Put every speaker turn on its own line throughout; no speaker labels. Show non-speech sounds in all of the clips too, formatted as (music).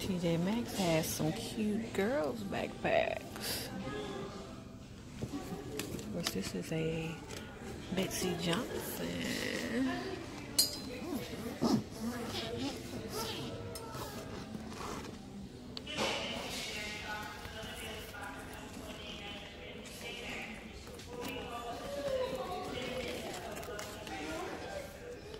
TJ Maxx has some cute girls backpacks. Of course, this is a Betsy Johnson.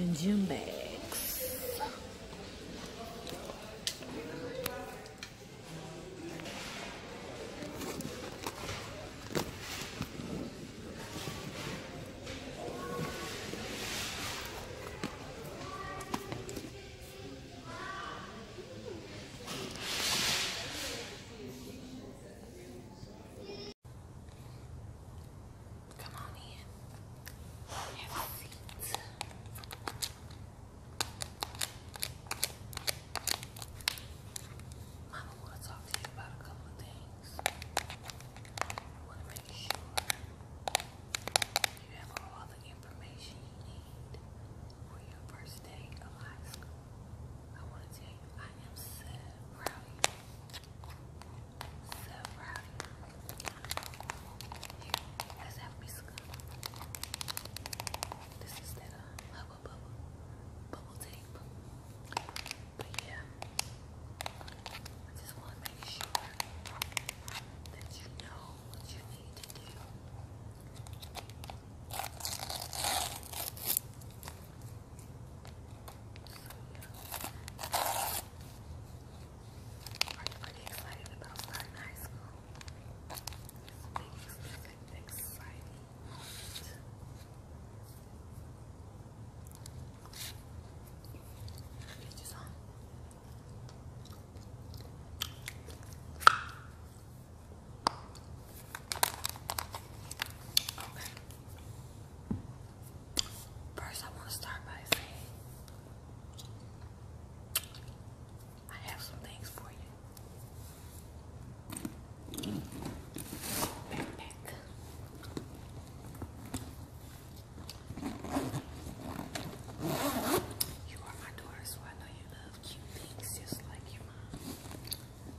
and gym bags. Come on in. Have a seat. Mama want to talk to you about a couple of things. I want to make sure you have all the information you need for your first day of high school. I want to tell you, I am so proud of you. So proud of you. Here, let's This is that uh, bubble, bubble, tape. But yeah, I just want to make sure that you know what you need to do. So, yeah. Are you excited about starting high school? Okay. First, I want to start by saying I have some things for you. You are my daughter, so I know you love cute things just like your mom.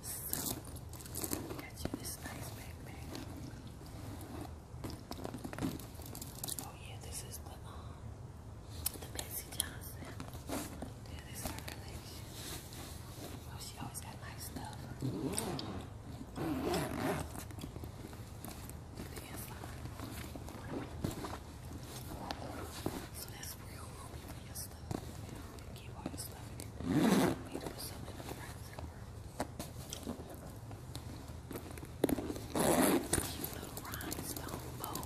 So, got you this nice backpack. Oh yeah, this is the um, the Betsy Johnson. Yeah, this is her Oh, she always got nice stuff. The inside. So that's real roomy for your stuff. You keep all your stuff in here. You need to put something in the front zipper. Cute little rhinestone bow.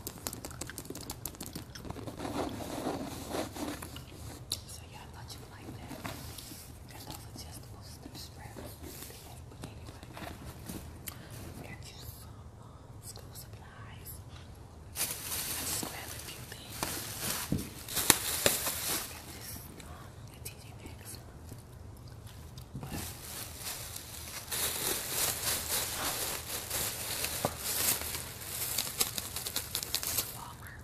So yeah, I thought you would like that. And those are just those the spreads. But anyway, got you some um, school supplies. I just grabbed a few things. Got this um, at TJ Maxx. But, um, Walmart.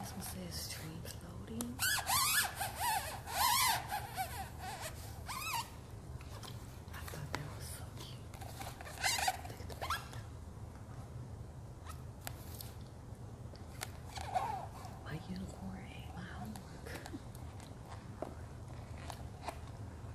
This one says stream loading. I thought that was so cute. Look the back. My unicorn ate my homework.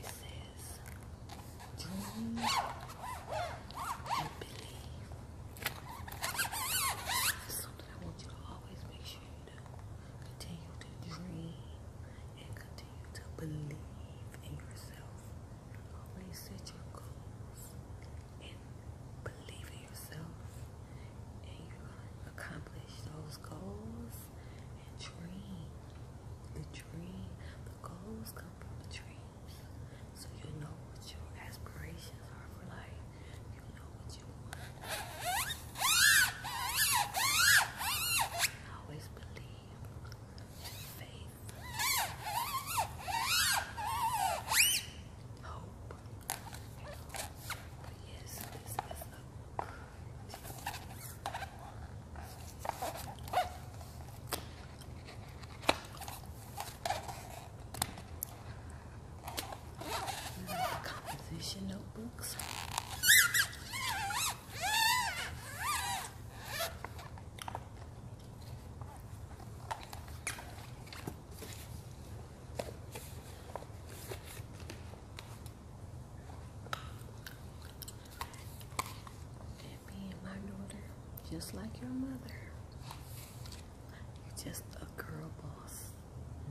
It says, dream and believe. something I want you to always make sure you do. Continue to dream and continue to believe in yourself. Always set your goals and believe in yourself, and you're going to accomplish those goals the dream. The dream, the goals come from the dreams. So you know what your aspirations are for life. You know what you want. always believe faith. Hope. yes, Composition notebooks and being my daughter, just like your mother. You're just a girl boss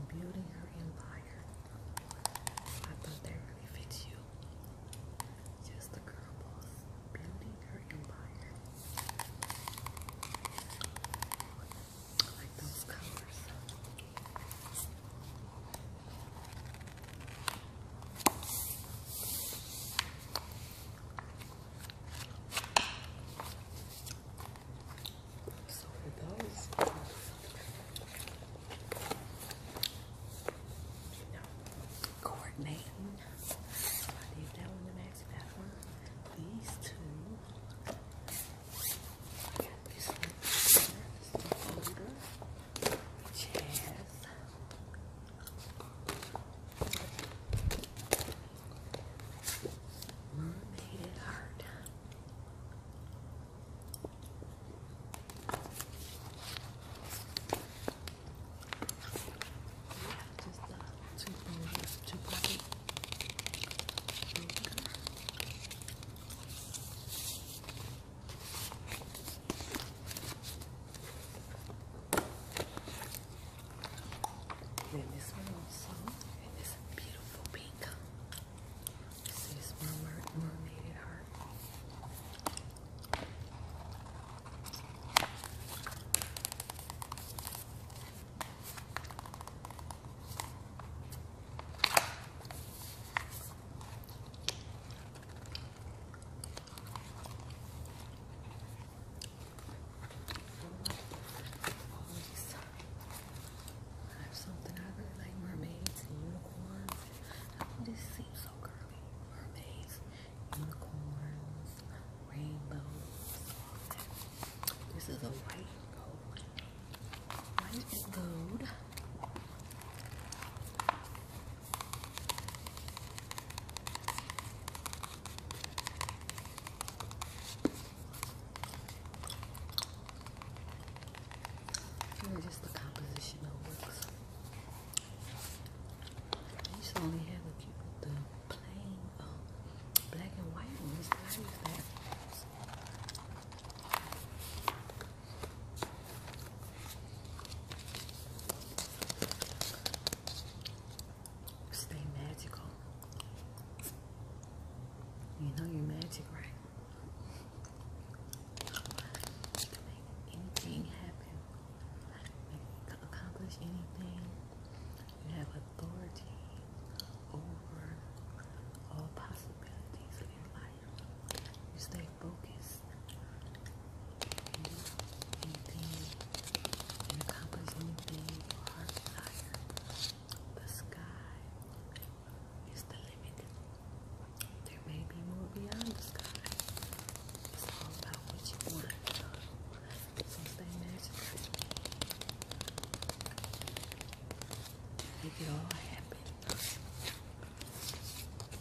building her empire. I thought that really fits you. Just a girl boss building her empire. I like those colors. So for those you coordinating, I did that one the max These two. I got this Cheers. Made it hard. Just uh, two bowls, two bowls. Then this one also, this beautiful pink. This is Mermaid, mermaid Heart. I have something I really like mermaids and unicorns. this seems so girly. Mermaids, unicorns, rainbows. This is a white gold. White gold. Really just the composition of looks. I only have a the plain um, black and white ones. Stay magical. You know your magic, right? You can make anything happen. You can accomplish anything. You have authority over all possibilities in life. You stay focused. You do and accomplish anything your heart desires. The sky is the limit. There may be more beyond the sky. It's all about what you want. So stay magical. Make it all happen.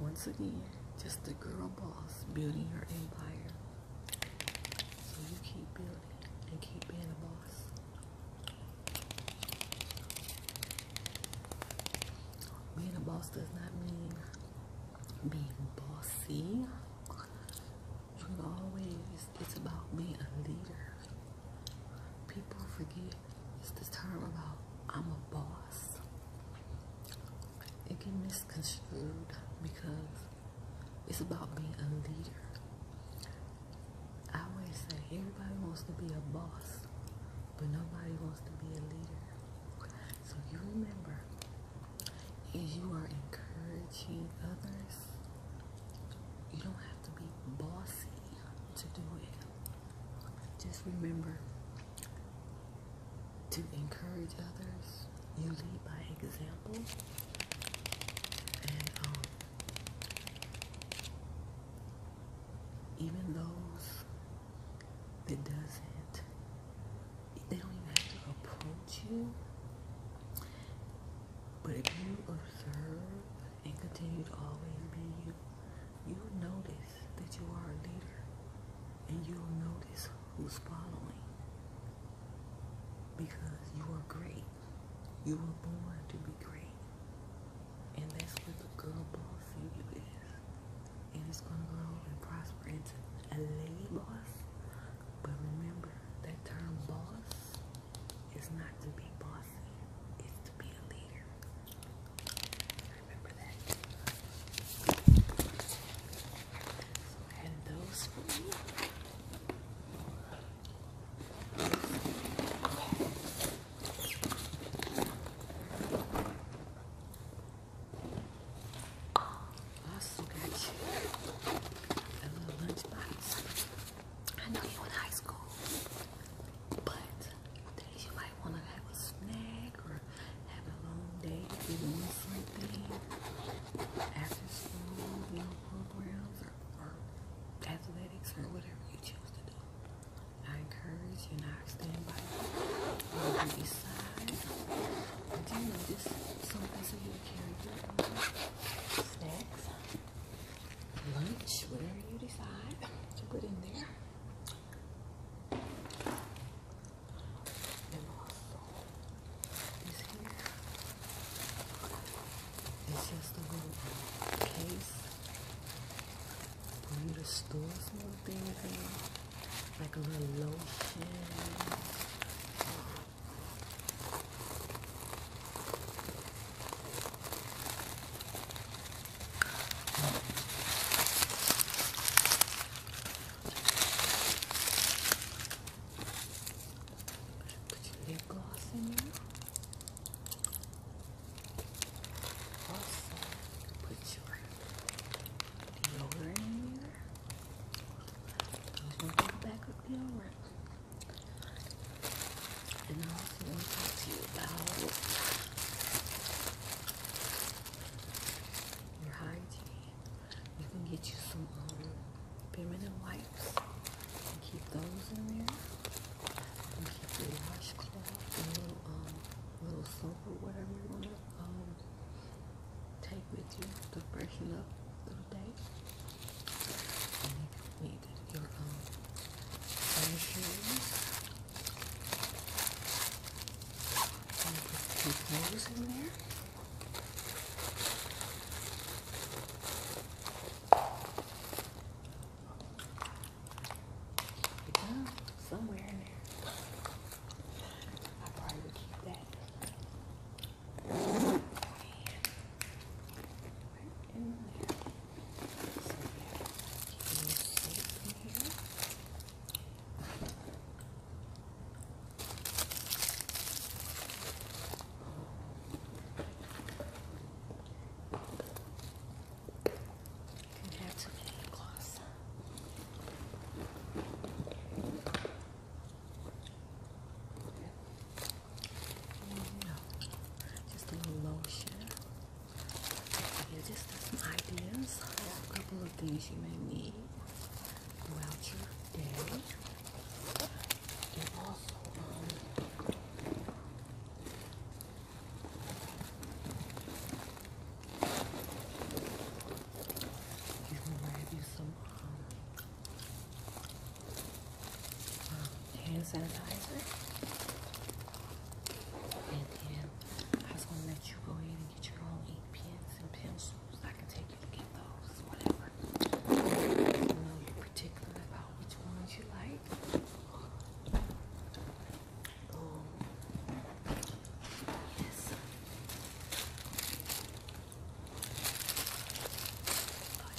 once again just a girl boss building her empire. So you keep building and keep being a boss. Being a boss does not mean being bossy. You always, it's about being a leader. People forget it's the term about I'm a boss. It can miss Construed because it's about being a leader. I always say everybody wants to be a boss, but nobody wants to be a leader. So you remember, if you are encouraging others, you don't have to be bossy to do it. Just remember, to encourage others. You lead by example. And um, even those that doesn't, they don't even have to approach you. But if you observe and continue to always be you, you'll notice that you are a leader and you'll notice who's following because you are great. You were born to be great. And that's what the good boss in is. And it's going to grow and prosper into a lady boss. But remember, that term boss is not to be bossy. It's to be a leader remember that. So I those Also got you a little lunch I know you in high school, but you might want to have a snack or have a long day to be something after school, you programs or, athletics or whatever you choose to do. I encourage you not to stand by you. You decide. But just something so you carry your snacks, lunch, whatever you decide to put in there. And just a little case for you to store some in, like a little lotion. Put some lip gloss in there. put your deodorant in there. I'm going to go back with deodorant. And I also want to talk to you about your hygiene. You can get you some feminine um, wipes and keep those in there. You keep your washcloth and um, little, soap or whatever you want to um, take with you to freshen up for the day. And you your um, keep those in there. Yeah, somewhere in there. I probably would keep that. And right in there. So yeah, keep in here. Congrats with your claws. Just a little lotion. Yeah, just some ideas. A couple of things you may need throughout your day. And also, um, you hand sanitizer. And then I was going to let you go ahead get your own pens and pencils. I can take you to get those, whatever. You know you're particular about which ones you like. Um, yes.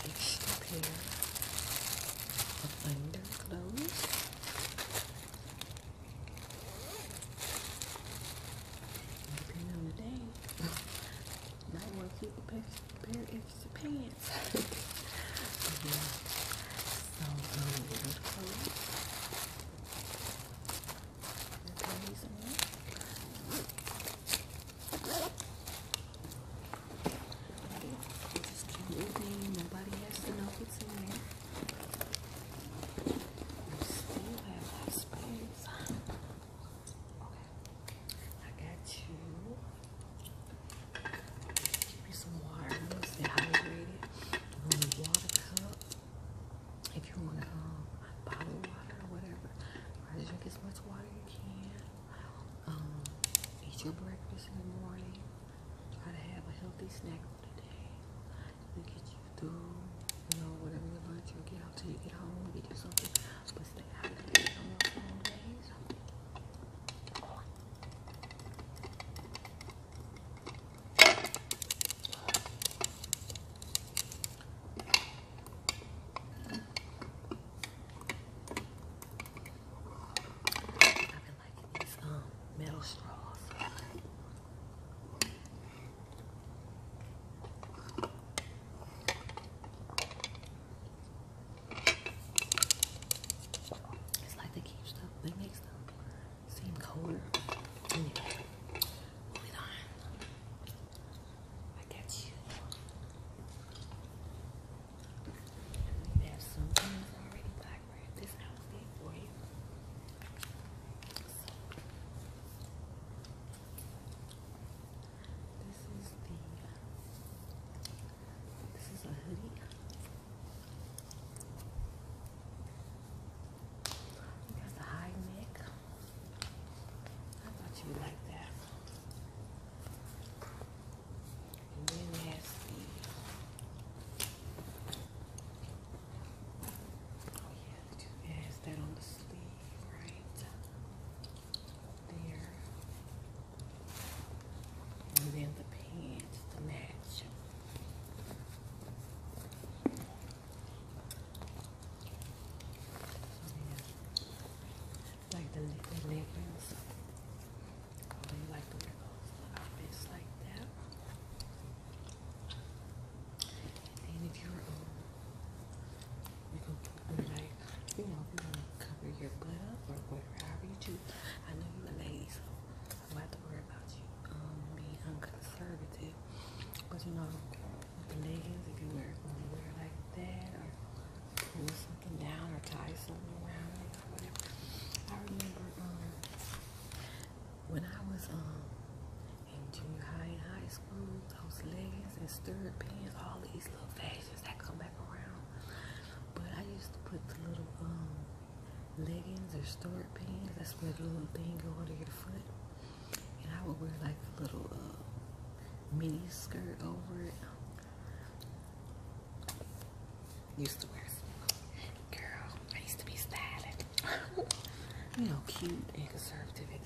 An extra pair of underclothes. Depending on the day, might want to keep a pair of pants. yeah. (laughs) So, just um, keep moving. Nobody has to know what's in there. still have that spare Okay. I got you. Give me some water. I'm going stay hydrated. I'm going water cup. If you want to um, bottle water or whatever, try to drink as much water you can. Um, eat your breakfast in the morning. Try to have a healthy snack for the day look at you through, you know, whatever you lunch, you'll get out till you get home, get you something, but stay out of the on your phone days. I've been liking these um metal straws. It's like they keep stuff, they make stuff seem colder. Anyway, moving on. I got you. We have some things already black wrapped this outfit for you. This is the this is a hoodie. You got the high neck. I thought you would like that. And then there's the yeah, do that. Is that on the sleeve, right? There. And then the pants to match. Yeah. Like the, the leggings. I like the wear those like that. And if you're um, you can put like you know, cover your butt up or whatever, however you do. I know you're a lady, so I'm about to worry about you um, being unconservative. But you know, with the leggings, if you wear want to wear like that or pull something down or tie something around it or whatever. I remember um, when I was um, in junior high and high school, those leggings and stirred pants, all these little fashions that come back around. But I used to put the little um leggings or stirred pants, that's where the little thing go under your foot. And I would wear like a little uh, mini skirt over it. Used to wear some girl, I used to be styling. (laughs) you know, cute and conservative and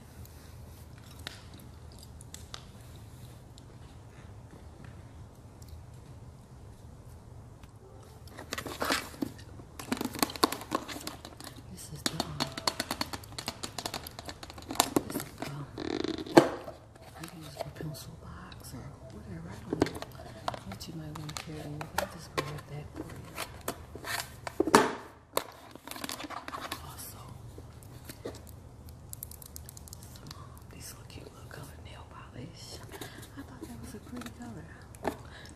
Yeah. This is the um, this is the uh, um, I can use a pencil box or whatever. I don't know what you might want to carry. I'll just grab that for you. Um, these little cute little color nail polish. I thought that was a pretty color.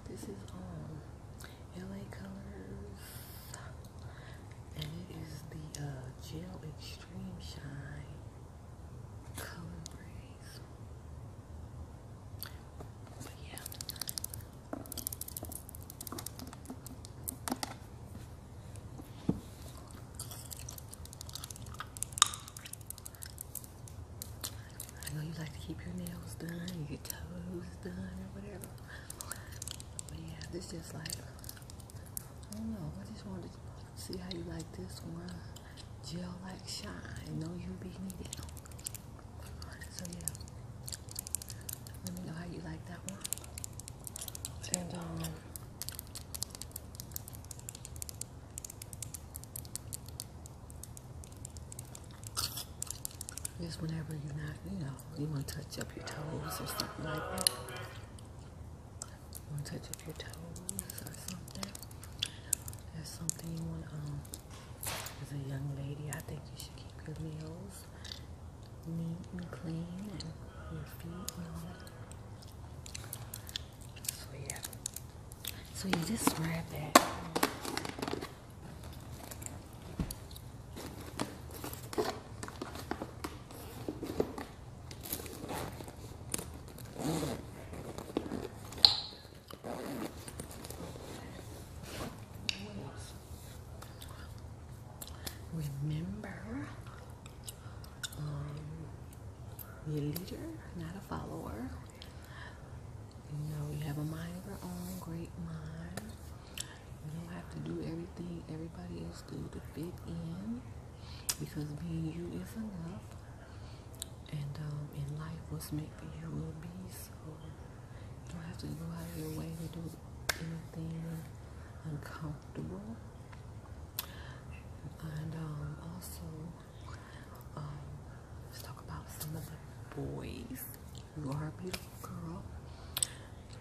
This is um LA Colors, and it is the uh, Gel Extreme Shine Color Breeze. yeah, I know you like to keep your nails done, your toes done, or whatever. this just like, I don't know. I just wanted to see how you like this one. Gel like shine, no UV needed. So yeah, let me know how you like that one. Um, just whenever you're not, you know, you want to touch up your toes or something like that. You want to touch up your toes or something. There's something you want, to. Um, as a young lady, I think you should keep your nails neat and clean and your feet and all that. So yeah. So you just wrap it. Remember, um, you're a leader, not a follower. You know, you have a mind of your own, great mind. You don't have to do everything everybody else do to fit in because being you is enough. And um, in life, what's meant for you will be so. You don't have to go out of your way to do anything uncomfortable. And um, also, um, let's talk about some of the boys. You are a beautiful girl,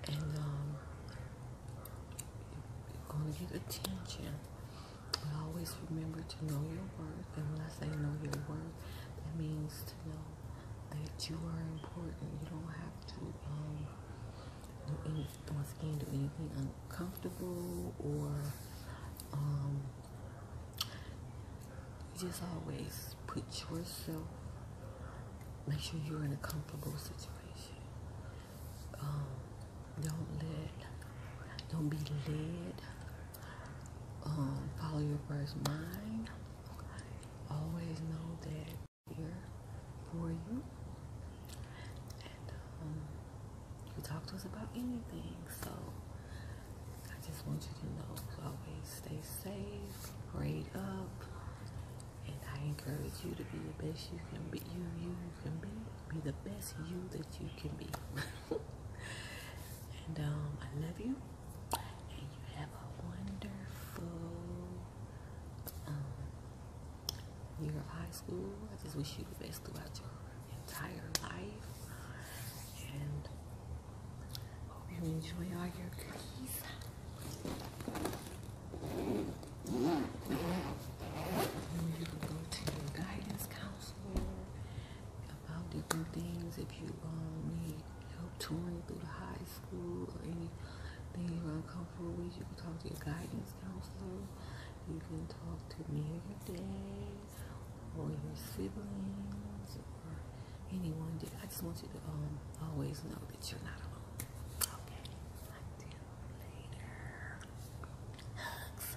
and um, you're going to get attention. But always remember to know your worth. And when I say know your worth, that means to know that you are important. You don't have to do anything uncomfortable or um, just always put yourself make sure you're in a comfortable situation. Um, don't let don't be led. Um, follow your first mind. Always know that here for you. And um, you talk to us about anything. So I just want you to know always stay safe, grade up, and I encourage you to be the best you can be. You, you can be. Be the best you that you can be. (laughs) and um, I love you. And you have a wonderful um, year of high school. I just wish you the best throughout your entire life. And hope you enjoy all your cookies. you can go to your guidance counselor about different things if you um, need help touring through the high school or anything weeks, you can talk to your guidance counselor. You can talk to me or your dad or your siblings or anyone. I just want you to um, always know that you're not alone. Okay. later. Hugs.